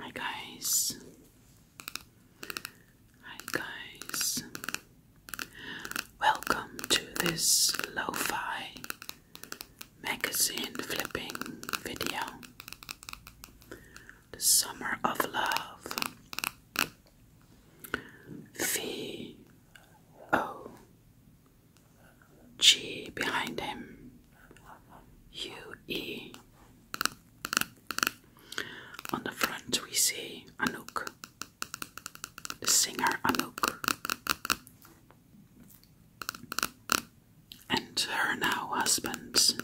Hi guys. Hi guys. Welcome to this lo-fi magazine flipping video. The Summer of Love. V O G behind him. U E. On the front we see Anouk, the singer Anouk. And her now husband,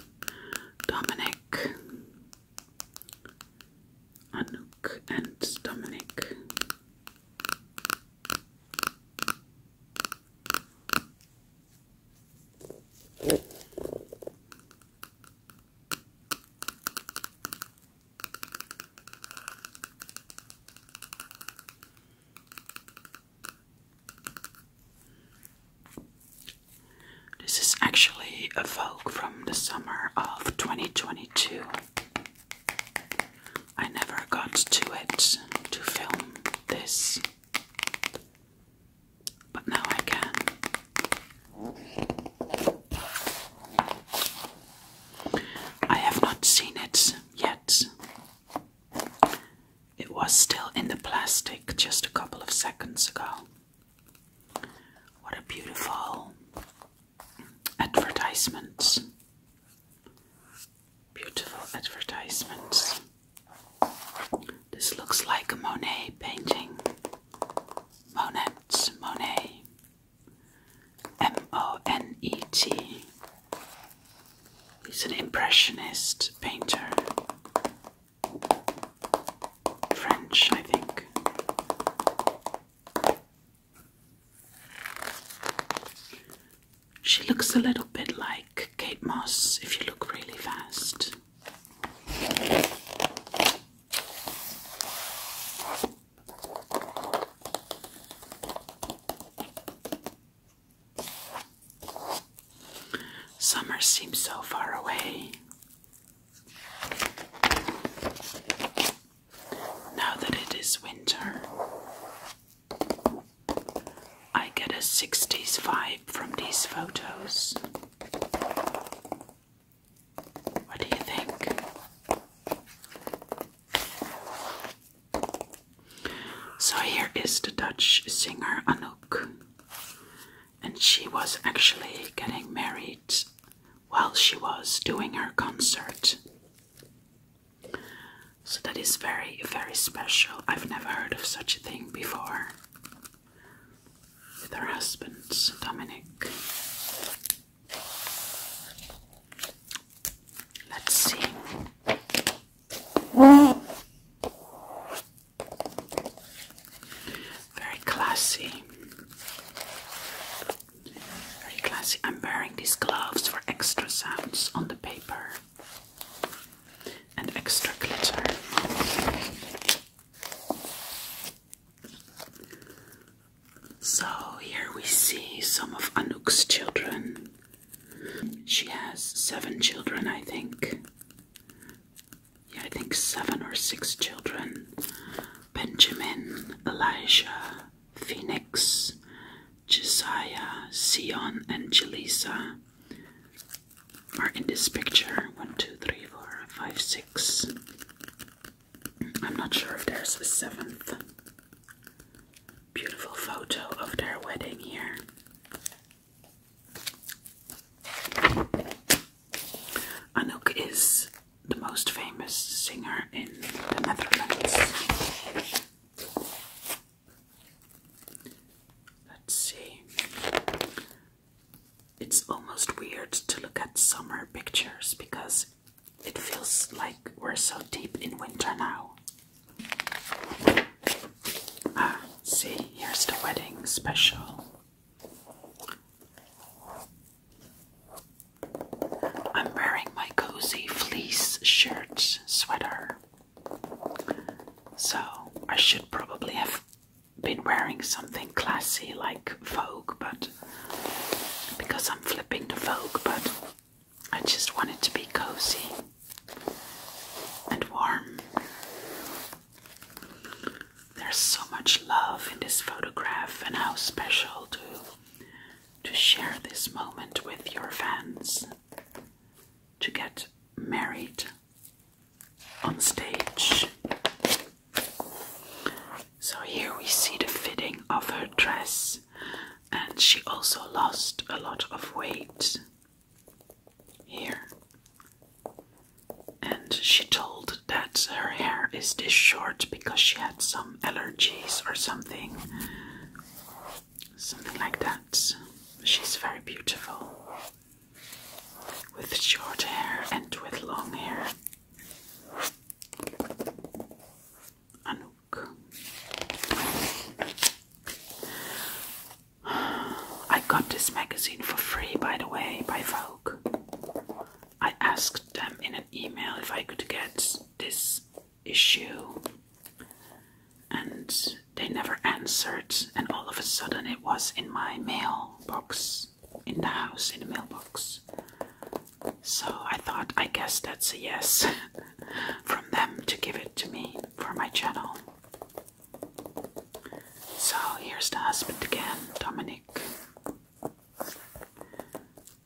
Dominic. Anouk and Dominic. This is actually a Vogue from the summer of 2022. I never got to it to film this. But now I can. I have not seen it yet. It was still in the plastic just a couple of seconds ago. What a beautiful advertisement! Beautiful advertisements. This looks like a Monet painting. Monet, Monet. M O N E T. He's an impressionist painter. French, I think. She looks a little bit like Kate Moss if you look really fast. Summer seems so far away. Now that it is winter, I get a 60s vibe from these photos. What do you think? So, here is the Dutch singer Anouk, and she was actually getting married while she was doing her concert. So that is very, very special. I've never heard of such a thing before. With her husband, Dominic. Let's see. Very classy. Very classy. I'm wearing these gloves for extra sounds on the paper and extra glitter. So here we see some of Anuk's children. She has seven children, I think. Yeah, I think seven or six children Benjamin, Elijah, Phoenix, Josiah, Sion, and Jelisa are in this picture. One, two, three, four, five, six. I'm not sure if there's a seventh. Beautiful photo of their wedding here. Anuk is the most famous singer in the Netherlands. Let's see. It's almost weird to look at summer pictures because it feels like we're so deep in winter now. Ah, see, here's the wedding special. I'm wearing my cozy fleece shirt sweater. So I should probably have been wearing something classy like Vogue, but because I'm flipping the Vogue, but I just wanted to be cozy and warm. There's so much love in this photograph, and how special to to share this moment with your fans to get married on stage. So here we see the fitting of her dress, and she also lost a lot of weight here. And she told that her hair is this short because she had some allergies or something something like that. She's very beautiful with short hair and with long hair. Anouk. I got this magazine for free, by the way, by Vogue. I asked them in an email if I could get this issue and they never answered and all of a sudden it was in my mailbox in the house in the mailbox so i thought i guess that's a yes from them to give it to me for my channel so here's the husband again dominic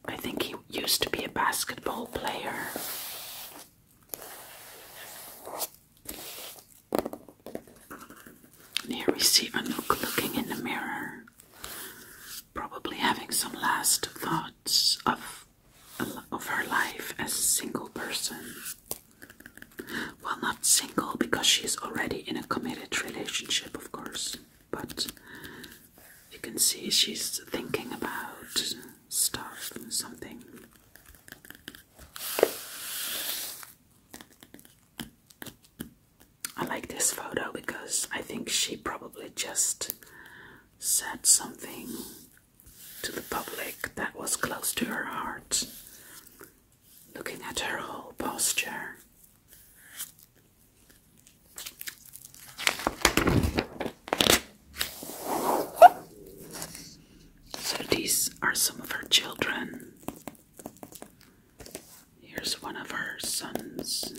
i think he used to be a basketball player and here we see Anouk looking in the mirror, probably having some last thoughts of, of her life as a single person. Well, not single because she's already in a committed relationship, of course, but you can see she's thinking about stuff, something. I like this photo because I think she probably just said something to the public that was close to her heart. Looking at her whole posture. So these are some of her children. Here's one of her sons.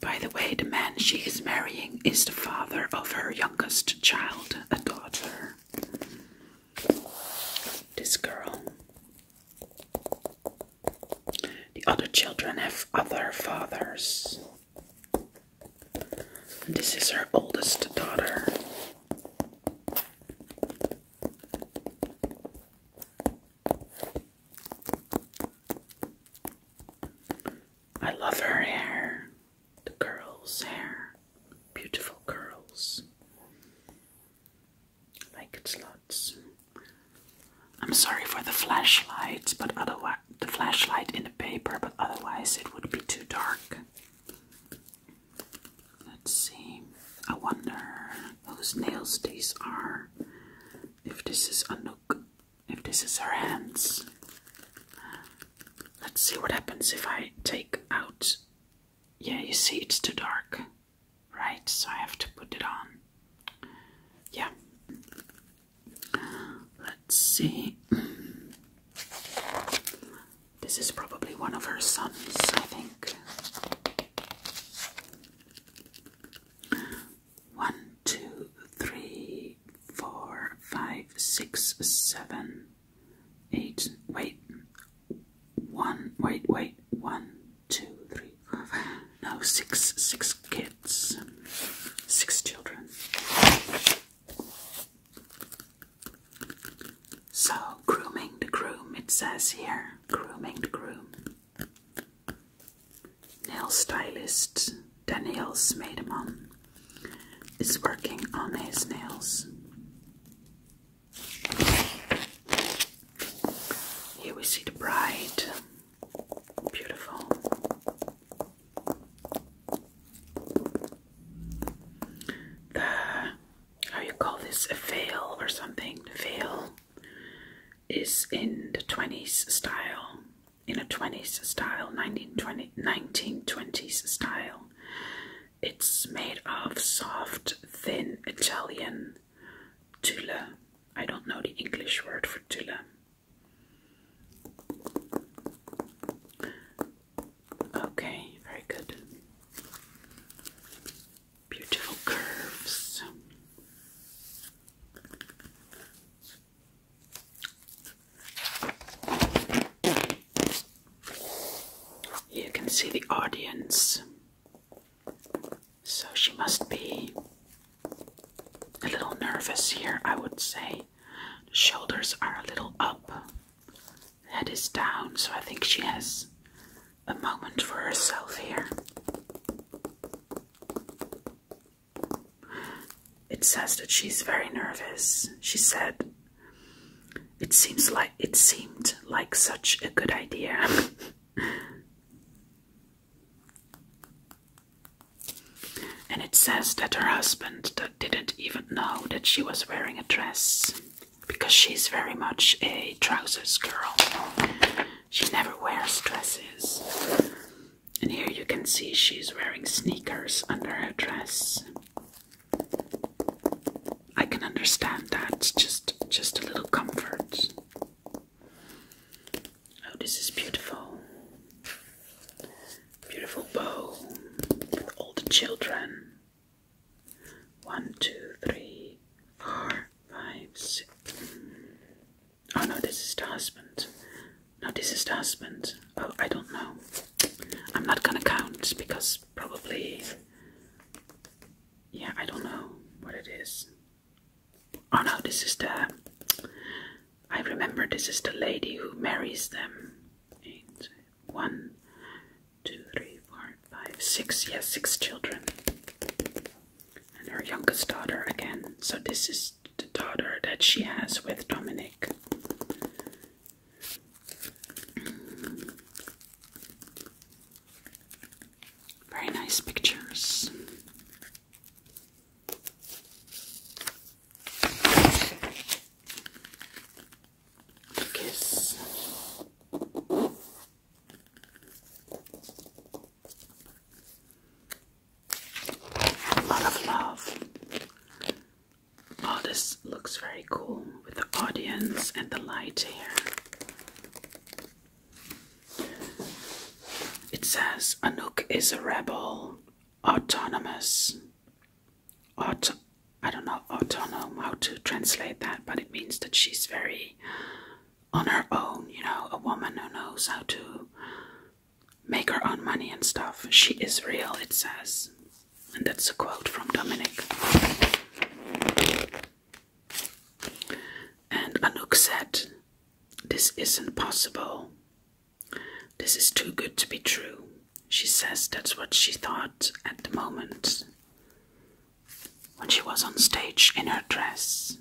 By the way, the man she is marrying is the father of her youngest child, a daughter. This girl. The other children have other fathers this is her oldest daughter. I love her hair, the curls, hair, beautiful curls. like it's lots. I'm sorry for the flashlight, but otherwise the flashlight in the paper, but otherwise it would be too dark. Let's see. I wonder whose nails these are. If this is Anouk, if this is her hands. Let's see what happens if I take out. Yeah, you see, it's too dark, right? So I have to put it on. Yeah, Let's see. This is probably one of her sons, I think. One, two, three, four, five, six, seven, eight. Wait. One, wait, wait. One, two, three no, six, six kids, six children. So, grooming the groom, it says here. Grooming the groom. Nail stylist Daniel Smedeman is working on his nails. Here we see the bride Beautiful. The how you call this a veil or something? Veil is in the twenties style, in a twenties style, 1920, 1920s style. It's made of soft, thin Italian tule. I don't know the English word for tule. Okay, very good. Beautiful curves. You can see the audience. So she must be a little nervous here, I would say. The shoulders are a little up, head is down, so I think she has a moment for herself here. It says that she's very nervous. She said, "It seems like it seemed like such a good idea." And it says that her husband didn't even know that she was wearing a dress because she's very much a trousers girl. She never wears dresses. And here you can see she's wearing sneakers under her dress. I can understand that, just just a little comfort. Oh, this is beautiful. Beautiful bow with all the children. One, two, three, four, five, six. Oh no, this is the husband. No, this is the husband. Oh, I don't know. I'm not gonna count because probably. Yeah, I don't know what it is. Oh no, this is the. I remember this is the lady who marries them. Eight, one, two, three, four, five, six. Yes, six children. And her youngest daughter again. So this is the daughter that she has with Dominic. Very nice pictures. Kiss. A lot of love. Oh, this looks very cool with the audience and the light here. It says Anouk is a rebel, autonomous. I don't know autonomous how to translate that, but it means that she's very on her own, you know, a woman who knows how to make her own money and stuff. She is real, it says. And that's a quote from Dominic. And Anouk said, this isn't possible. This is too good to be true. She says that's what she thought at the moment when she was on stage in her dress.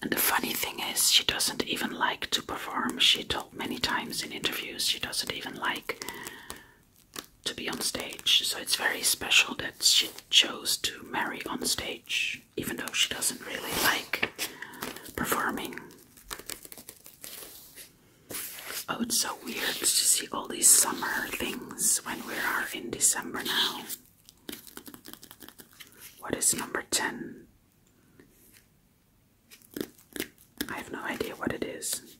And the funny thing is, she doesn't even like to perform. She told many times in interviews she doesn't even like to be on stage. So it's very special that she chose to marry on stage even though she doesn't really like performing. Oh, it's so weird to see all these summer things when we are in December now. What is number 10? I have no idea what it is.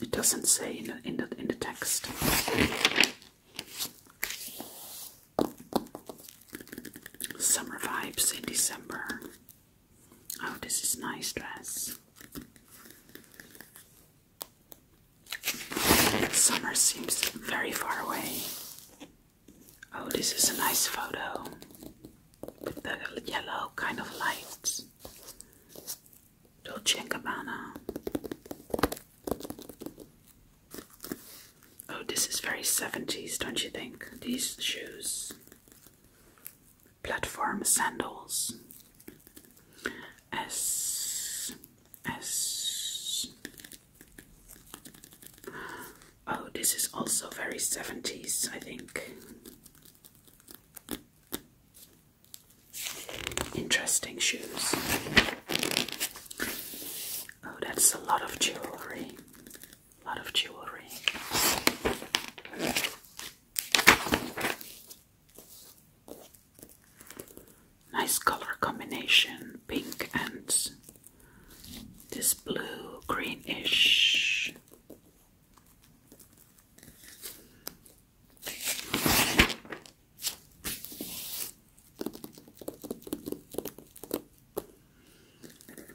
It doesn't say in the, in the, in the text. Summer vibes in December. Oh, this is nice dress. Summer seems very far away. Oh, this is a nice photo with the yellow kind of lights. Dolce & Gabbana. Oh, this is very 70s, don't you think? These shoes. Platform sandals. S. S. Oh, this is also very 70s, I think. Interesting shoes. Oh, that's a lot of jewelry. A lot of jewelry. Nice color combination pink and this blue greenish.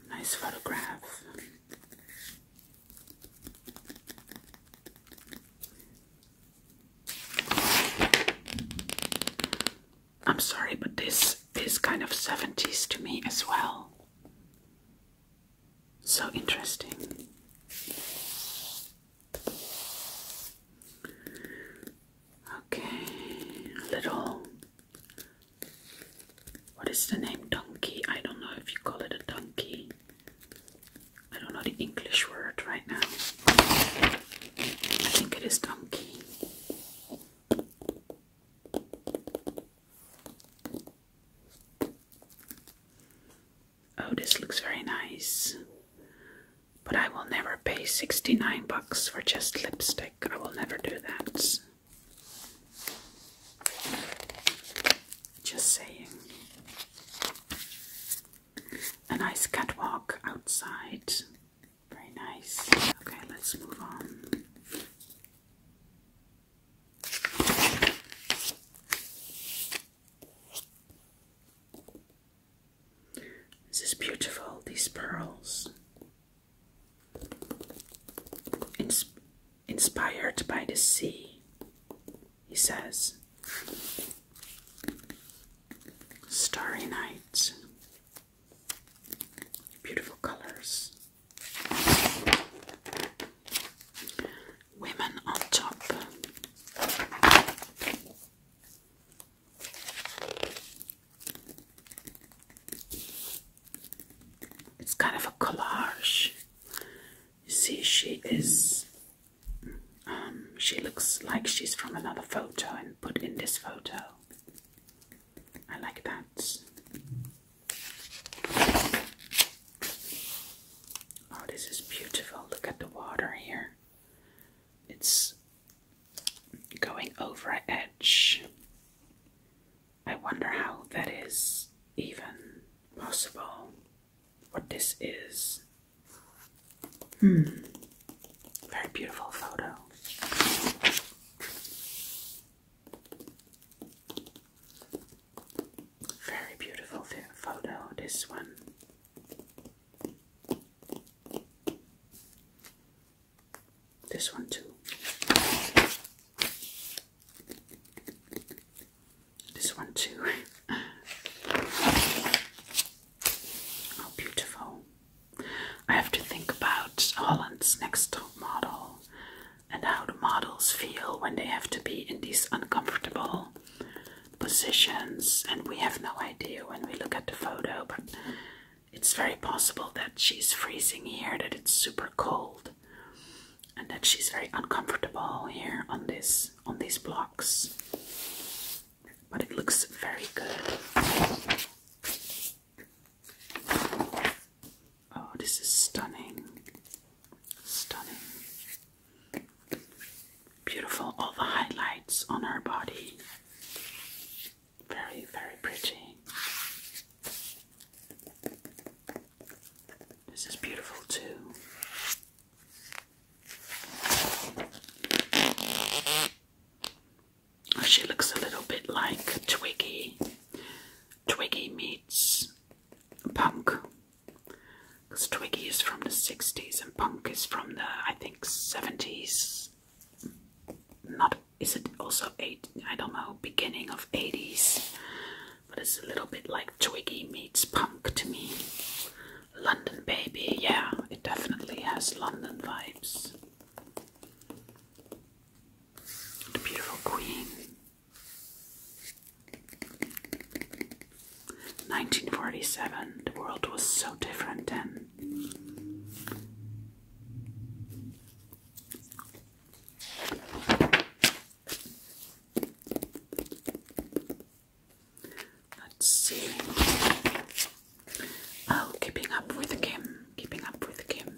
Nice photograph. I'm sorry, but this is kind of 70s to me as well. So interesting. Okay, little. What is the name? Donkey. I don't know if you call it a donkey. I don't know the English word right now. I think it is donkey. Oh, this looks very nice. But I will never pay 69 bucks for just lipstick. I will never do that. Just saying. A nice catwalk outside. Very nice. Okay, let's move on. This is beautiful, these pearls. inspired by the sea, he says. Starry night. Beautiful colors. Women on top. It's kind of a collage. You see, she is. Um, she looks like she's from another photo and put in this photo. I like that. Oh, this is beautiful. Look at the water here. It's going over an edge. I wonder how that is even possible. What this is. Hmm. Very beautiful photo. Very beautiful photo, this one. This one too. This one too. oh, beautiful. I have to think about Holland's next model and how the models feel when they have to be in these uncomfortable positions, and we have no idea when we look at the photo, but it's very possible that she's freezing here, that it's super cold, and that she's very uncomfortable here on this on these blocks. But it looks very good. Oh, this is stunning. Stunning. Beautiful, all the highlights on her body. Very, very pretty. This is beautiful too. She looks a little bit like Twiggy. Twiggy meets Punk. Because Twiggy is from the 60s and Punk is from the, I think, 70s. Not, is it also 8, I don't know, beginning of 80s. But it's a little bit like Twiggy meets Punk to me. London Baby, yeah, it definitely has London vibes. The Beautiful Queen. 1947, the world was so different then. Let's see. Oh, keeping up with Kim, keeping up with Kim.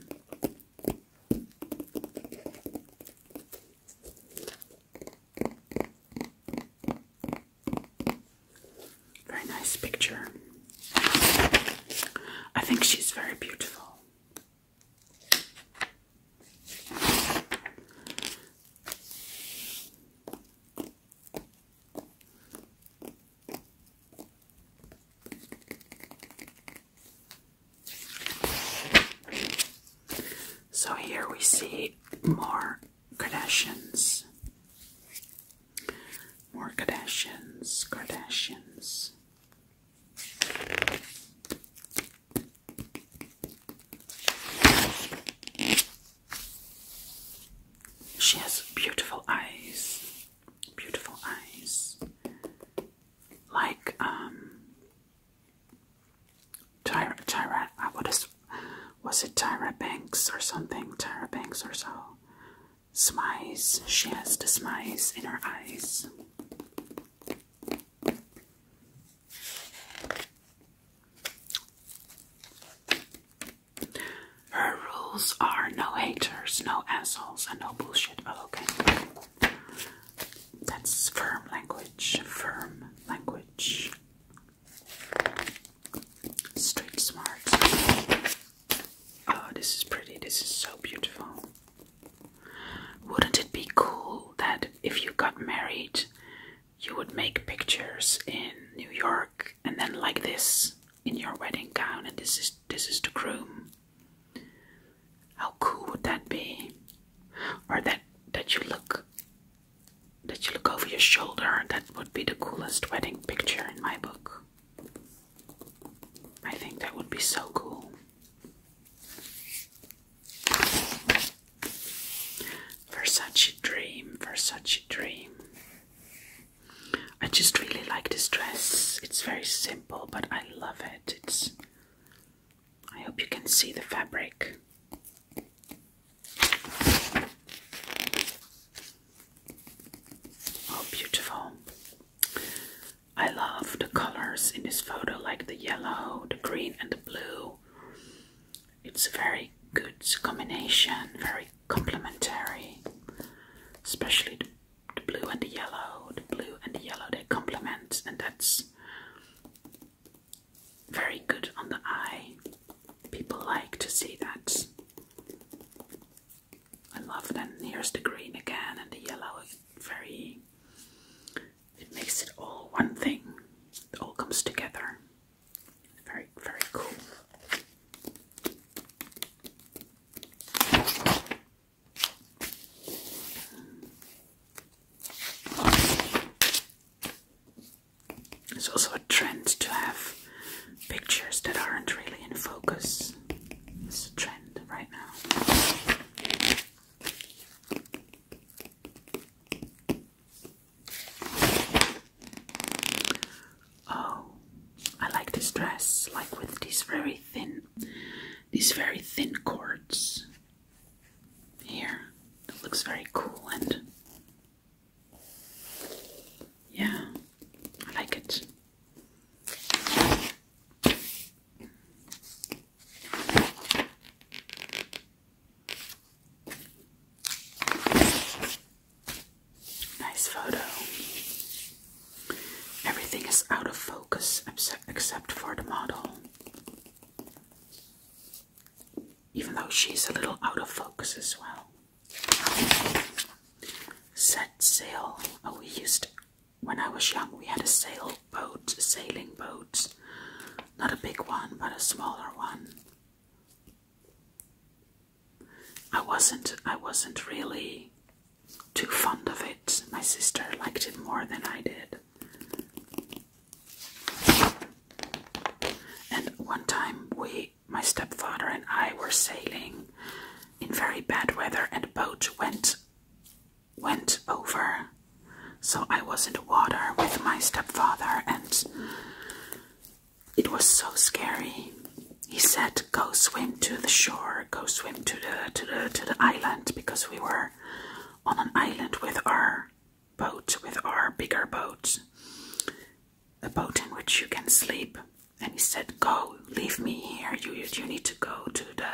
Very nice picture. I think she's very beautiful. So here we see more Kardashians. More Kardashians, Kardashians. She has beautiful eyes, beautiful eyes, like um, Tyra, Tyra, what is, was it Tyra Banks or something? Tyra Banks or so. Smize, she has the smize in her eyes. Her rules are no haters, no assholes, and no bullshit. Oh, okay. That's firm language. Firm language. Straight Smart. Oh, this is pretty. This is so beautiful. Wouldn't it be cool that if you got married, you would make pictures in New York and then like this in your wedding gown and this is this is the groom. How cool would that be? Or that that you look did you look over your shoulder. That would be the coolest wedding picture in my book. I think that would be so cool. Versace Dream, Versace Dream. I just really like this dress. It's very simple, but I love it. It's I hope you can see the fabric. Oh, beautiful. I love the colors in this photo, like the yellow, the green, and the blue. It's a very good combination, very complementary, especially the, the blue and the yellow. The blue and the yellow they complement, and that's very good on the eye. People like to see that. I love that. here's the green again and the yellow very it makes it all one thing. It all comes together. Very, very cool. It's also a trend to have pictures that aren't really in focus. It's a trend right now. Oh, I like this dress, like with these very thin, these very thin cords here. It looks very cool and yeah, I like it. Nice photo. Everything is out of focus except for the model even though she's a little out of focus as well. Set sail. Oh, we used, when I was young, we had a sailboat, a sailing boat. Not a big one, but a smaller one. I wasn't, I wasn't really too fond of it. My sister liked it more than I did. And one time we my stepfather and I were sailing in very bad weather and the boat went went over. So I was in the water with my stepfather and it was so scary. He said, "Go swim to the shore. Go swim to the to the to the island because we were on an island with her." boat with our bigger boat, a boat in which you can sleep. And he said, "Go, leave me here. You you need to go to the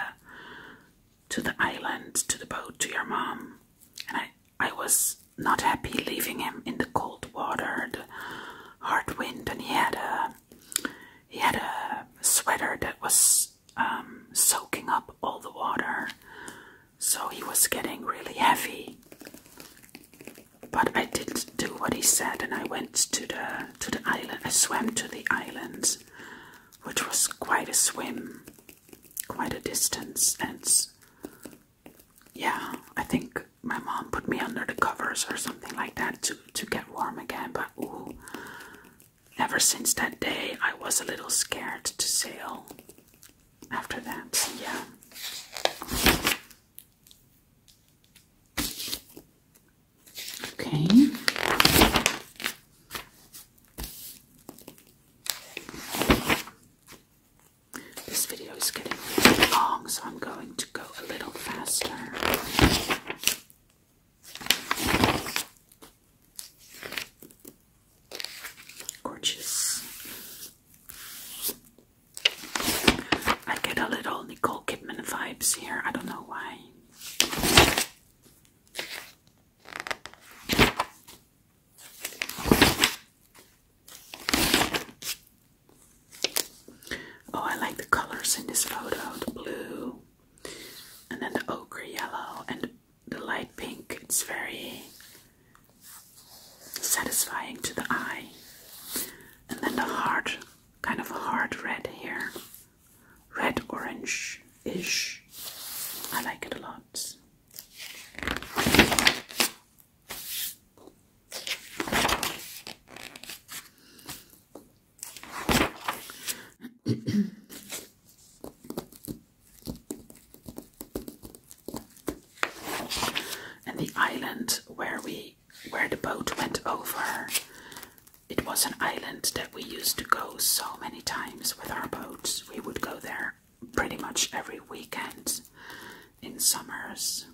to the island, to the boat, to your mom." And I I was not happy leaving him in the cold water, the hard wind, and he had a he had a sweater that was um, soaking up all the water so he was getting really heavy. But I did not do what he said, and I went to the to the island. I swam to the island, which was quite a swim, quite a distance, and yeah, I think my mom put me under the covers or something like that to to get warm again. But ooh, ever since that day, I was a little scared to sail after that, yeah. Okay. This video is getting really long, so I'm going to go a little faster. Gorgeous. I get a little Nicole Kidman vibes here. I don't know why. Oh, I like the colors in this photo the blue, and then the ochre yellow, and the light pink. It's very satisfying to the eye. And then the heart, kind of hard red here. Red orange ish. I like it a lot. And the island where we where the boat went over, it was an island that we used to go so many times with our boats. We would go there pretty much every weekend in summers.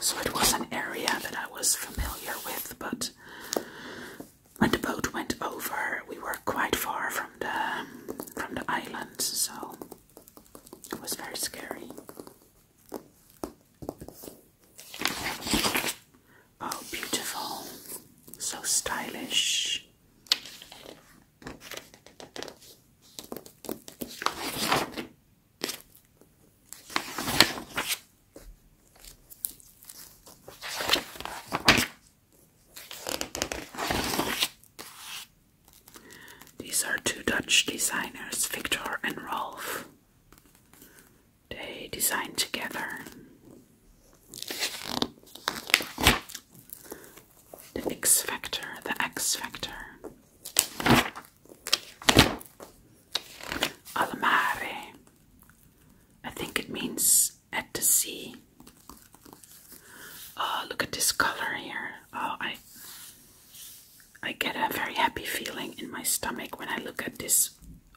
So it was an area that I was familiar with, but when the boat went over, we were quite far from the from the island, so it was very scary. Oh, beautiful! So stylish. These are two Dutch designers, Victor and Rolf. They design together. The X vector. the X vector. Almare, I think it means at the sea. Oh, look at this color here. Oh, I I get a very happy feeling in my stomach when I look at this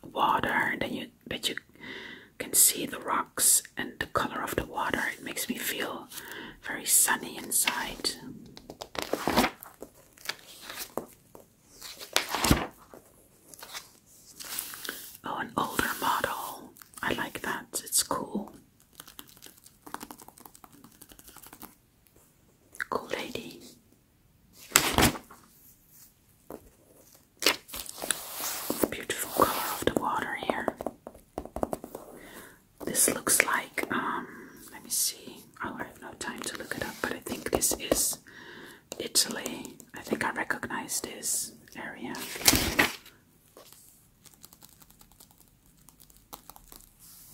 water. Then you that you can see the rocks and the color of the water. It makes me feel very sunny inside. Oh, an older model. I like that. It's cool. Cool lady. Beautiful color of the water here. This looks like, um, let me see. Oh, I have no time to look it up, but I think this is Italy. I think I recognize this area.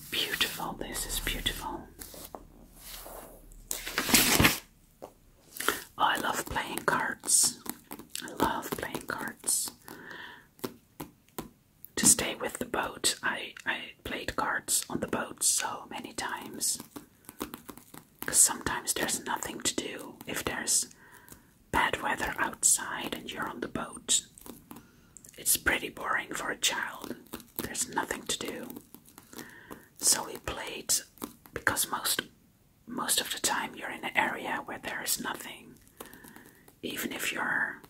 Beautiful, this is beautiful. Oh, I love playing cards. I love playing cards. To stay with the boat, I, I played cards on the boat so many times. Because sometimes there's nothing to do if there's bad weather outside and you're on the boat. It's pretty boring for a child. There's nothing to do. So we played because most most of the time you're in an area where there is nothing. Even if you're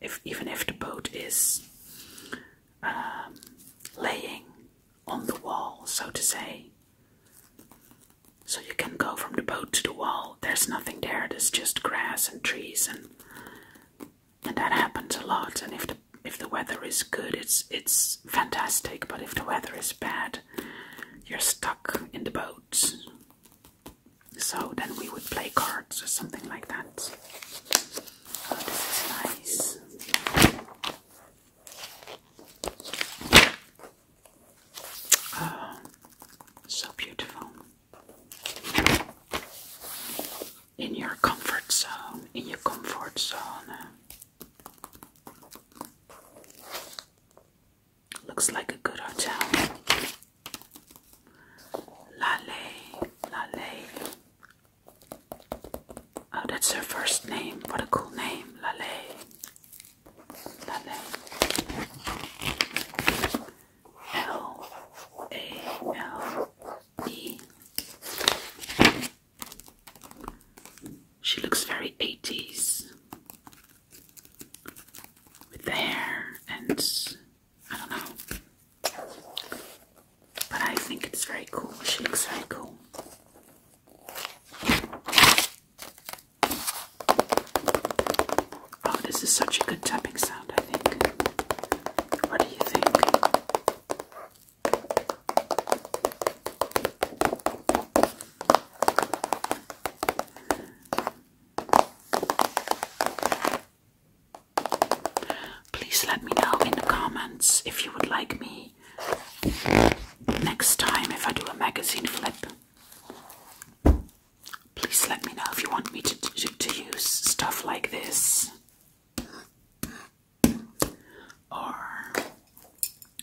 if even if the boat is um, laying on the wall, so to say. So you can go from the boat to the wall. There's nothing there. There's just grass and trees, and and that happens a lot. And if the if the weather is good, it's it's fantastic. But if the weather is bad, you're stuck in the boat. So then we would play cards or something like that. Oh, this is nice. so beautiful. In your comfort zone, in your comfort zone. Looks like a good hotel. Lale, lale, Oh, that's her first name. What a cool name, Lale. Lale. She looks very 80s with the hair and I don't know. But I think it's very cool. She looks very cool. Oh, this is such a good tapping sound, I think. What do you think? Please let me know in the comments if you would like me next time if I do a magazine flip. Please let me know if you want me to, to, to use stuff like this or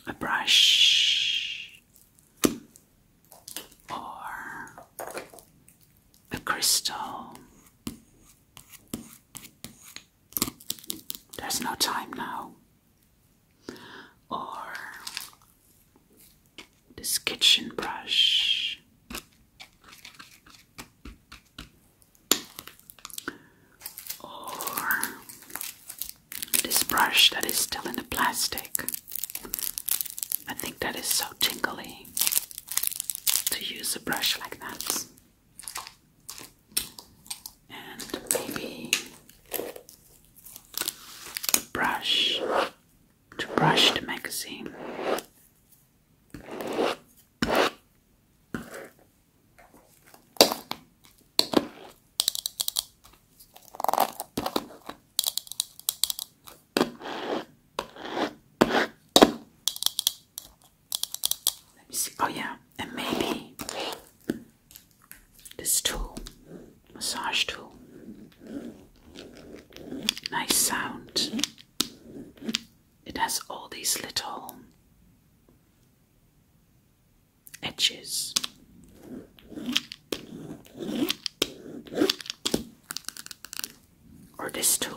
a brush or a crystal there's no time now. Or this kitchen brush. Or this brush that is still in the plastic. I think that is so tingly to use a brush like that and maybe brush to brush the magazine. Let me see. Oh, yeah. And maybe this tool, massage tool. Nice sound. It has all these little edges. Or this tool.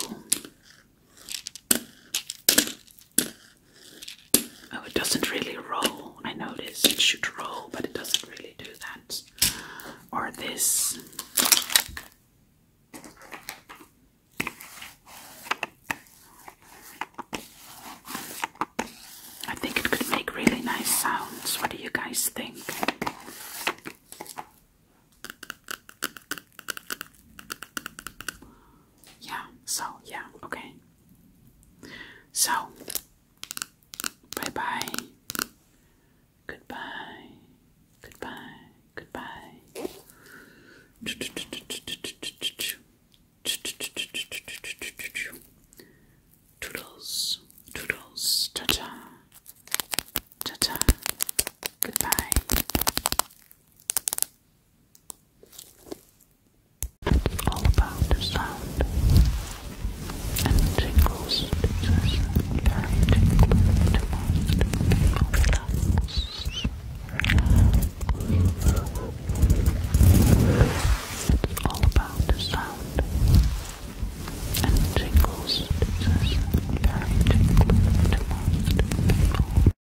Oh, it doesn't really roll. I noticed it should roll, but it doesn't really do that. Or this. I think it could make really nice sounds. What do you guys think? Yeah, so, yeah, okay. So, bye bye. Goodbye. Goodbye. Goodbye. Toodles. Toodles. Ta ta. Ta ta. Goodbye. All about the sound and tingles is very tingling to most It's all about the sound and tingles is very tingling to most